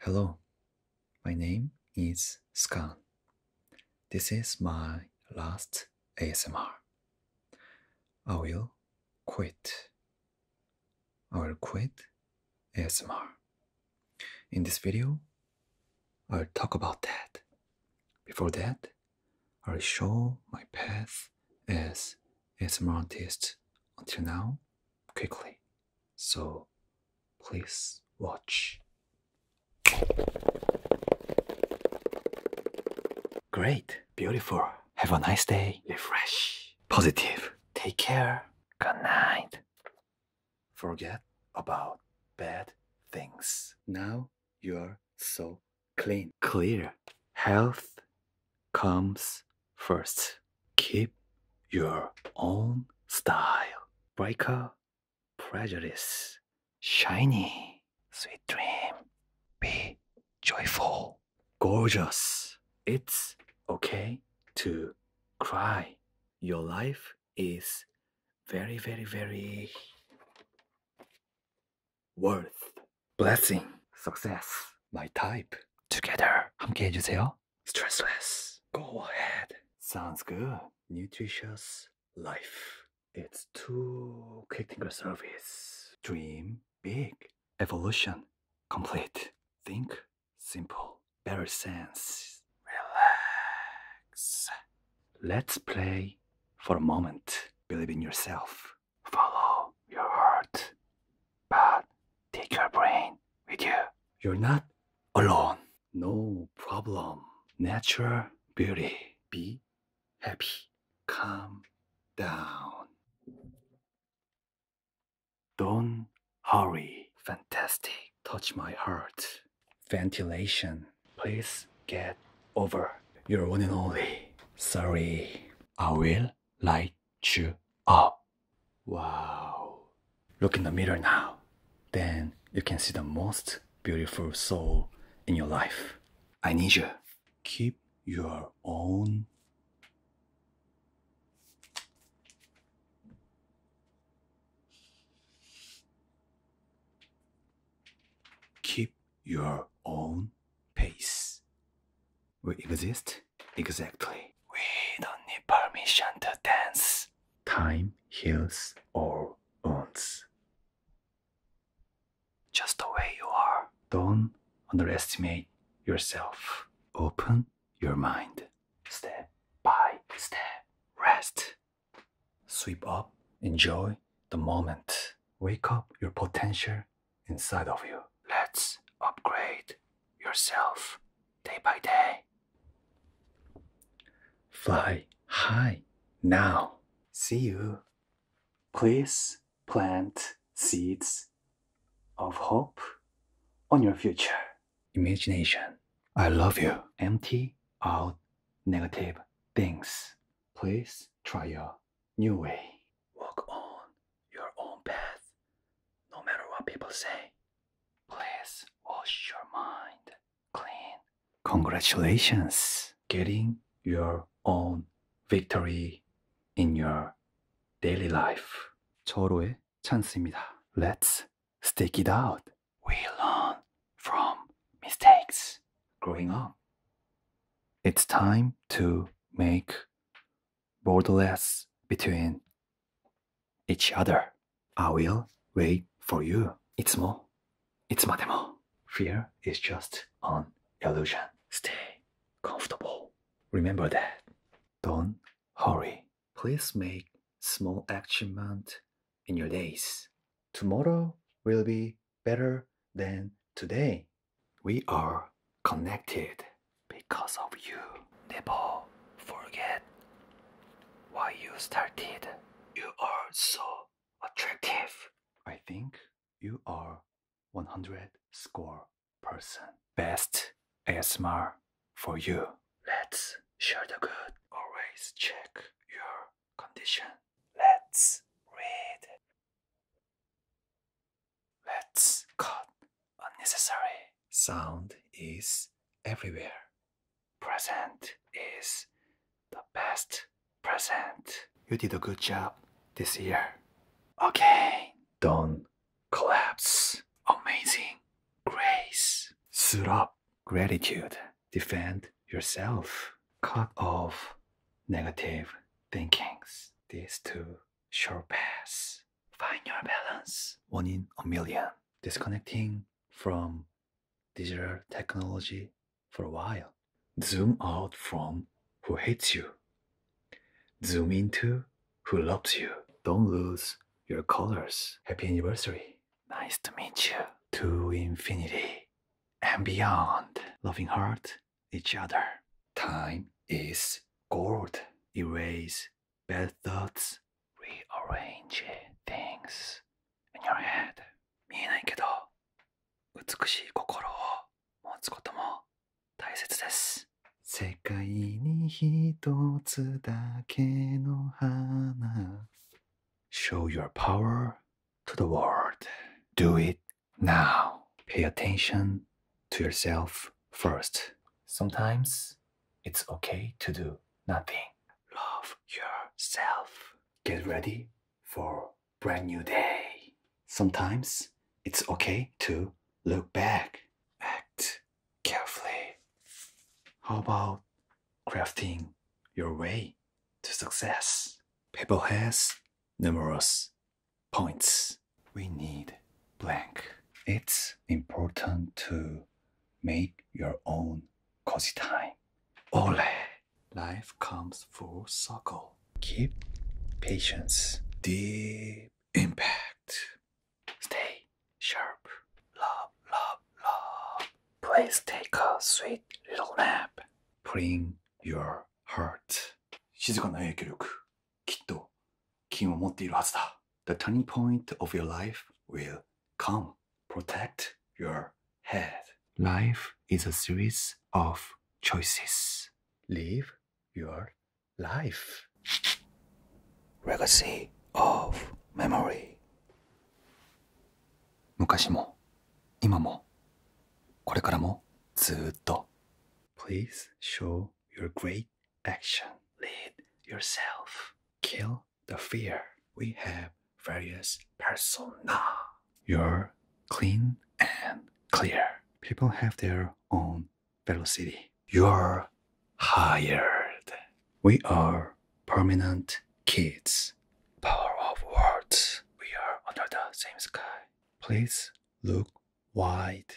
Hello, my name is Scan. This is my last ASMR. I will quit. I will quit ASMR. In this video, I'll talk about that. Before that, I'll show my path as ASMR artist until now quickly. So please watch. Great. Beautiful. Have a nice day. Refresh. Positive. Take care. Good night. Forget about bad things. Now you're so clean. Clear. Health comes First, keep your own style. Breaker, prejudice. Shiny. Sweet dream. Be joyful. Gorgeous. It's okay to cry. Your life is very, very, very worth blessing, success, my type. Together. 함께 해주세요. Stressless. Go ahead. Sounds good. Nutritious life. It's too quick finger service. Dream big. Evolution complete. Think simple. Better sense. Relax. Let's play for a moment. Believe in yourself. Follow your heart, but take your brain with you. You're not alone. No problem. Natural beauty. Be happy. Calm down. Don't hurry. Fantastic. Touch my heart. Ventilation. Please get over. You're one and only. Sorry. I will like chew up. Wow. Look in the mirror now. Then you can see the most beautiful soul in your life. I need you. Keep your own keep your own pace. We exist? Exactly. We don't need permission to dance. Time heals all wounds. Just the way you are. Don't underestimate yourself. Open your mind. Step by step. Rest. Sweep up. Enjoy the moment. Wake up your potential inside of you. Let's upgrade yourself day by day. Fly high now. See you. Please plant seeds of hope on your future. Imagination. I love you. Empty out negative things. Please try your new way. Walk on your own path, no matter what people say. Please wash your mind clean. Congratulations. Getting your own victory in your daily life. 절호의 찬스입니다. Let's stick it out. We learn from mistakes. Growing up it's time to make borderless between each other. I will wait for you. It's more. It's more. Fear is just an illusion. Stay comfortable. Remember that. Don't hurry. Please make small action in your days. Tomorrow will be better than today. We are connected because of you. Never forget why you started. You are so attractive. I think you are 100 score person. Best ASMR for you. Let's share the good. Always check your condition. Let's read Let's cut. Unnecessary sound is everywhere. Present is the best present. You did a good job this year. Okay. Don't collapse. Amazing. Grace. Suit Gratitude defend yourself. Cut off negative thinkings. These two shall paths. Find your balance. One in a million. Disconnecting from digital technology for a while. Zoom out from who hates you. Zoom into who loves you. Don't lose your colors. Happy anniversary. Nice to meet you. To infinity and beyond, loving heart, each other. Time is gold. Erase bad thoughts, rearrange things in your head. 見えないけど、美しい心を持つことも大切です。世界に一つだけの花 Show your power to the world. Do it now. Pay attention to yourself first. Sometimes it's okay to do nothing. Love yourself. Get ready for brand new day. Sometimes it's okay to look back. Act carefully. How about crafting your way to success. people has numerous points. We need blank. It's important to make your own cozy time. Ole! Life comes full circle. Keep patience. Deep impact. Stay sharp. Love, love, love. Please take a sweet little nap. Bring your heart. Shizuka The turning point of your life will come. Protect your head. Life is a series of choices. Live your life. Legacy of memory. 昔も今もこれからもずっと Please show your great action lead yourself kill the fear we have various persona you're clean and clear people have their own velocity you're hired we are permanent kids. Power of words. We are under the same sky. Please look wide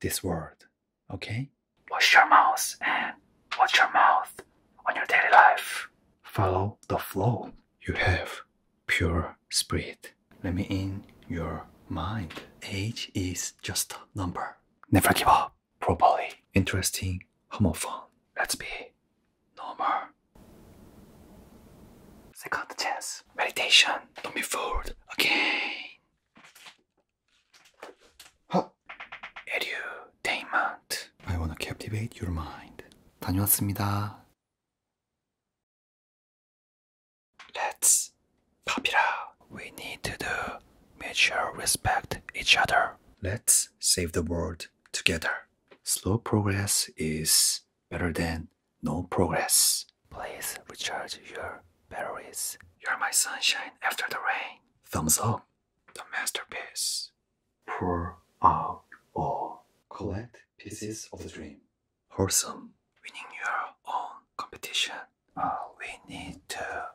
this world, okay? Wash your mouth and watch your mouth on your daily life. Follow the flow. You have pure spirit. Let me in your mind. Age is just a number. Never give up. Probably Interesting homophone. Let's be normal. Second chance. Meditation. Don't be fooled again. Huh. Edutainment. I wanna captivate your mind. 다녀왔습니다. Let's pop it out. We need to do mutual respect each other. Let's save the world together. Slow progress is better than no progress. Please recharge your batteries. You're my sunshine after the rain. Thumbs up. The masterpiece. Pour out all. Collect pieces of the dream. Wholesome. Winning your own competition. Uh, we need to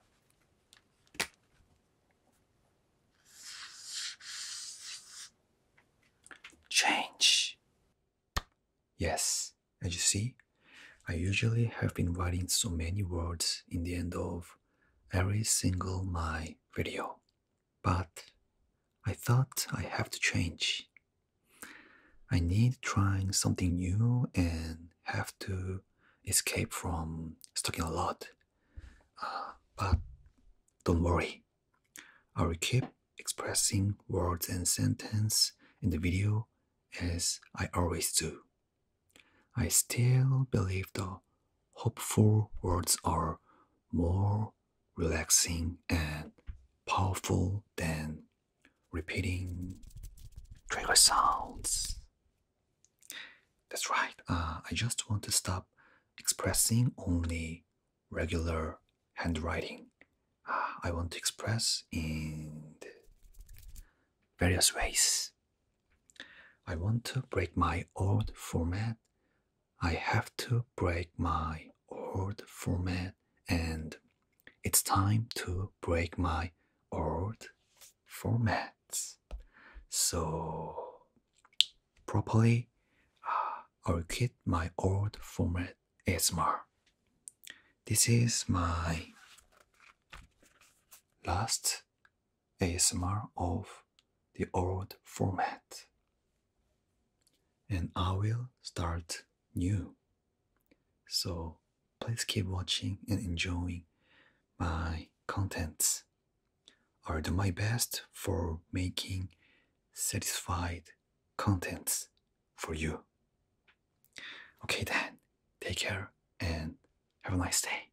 Change. Yes, as you see, I usually have been writing so many words in the end of every single my video, but I thought I have to change. I need trying something new and have to escape from talking a lot. Uh, but don't worry, I will keep expressing words and sentence in the video as I always do. I still believe the hopeful words are more relaxing and powerful than repeating trigger sounds. That's right. Uh, I just want to stop expressing only regular handwriting. Uh, I want to express in various ways. I want to break my old format. I have to break my old format, and it's time to break my old format. So properly, uh, I'll quit my old format ASMR. This is my last ASMR of the old format. And I will start new. So Please keep watching and enjoying my contents. I'll do my best for making satisfied contents for you. Okay then, take care and have a nice day.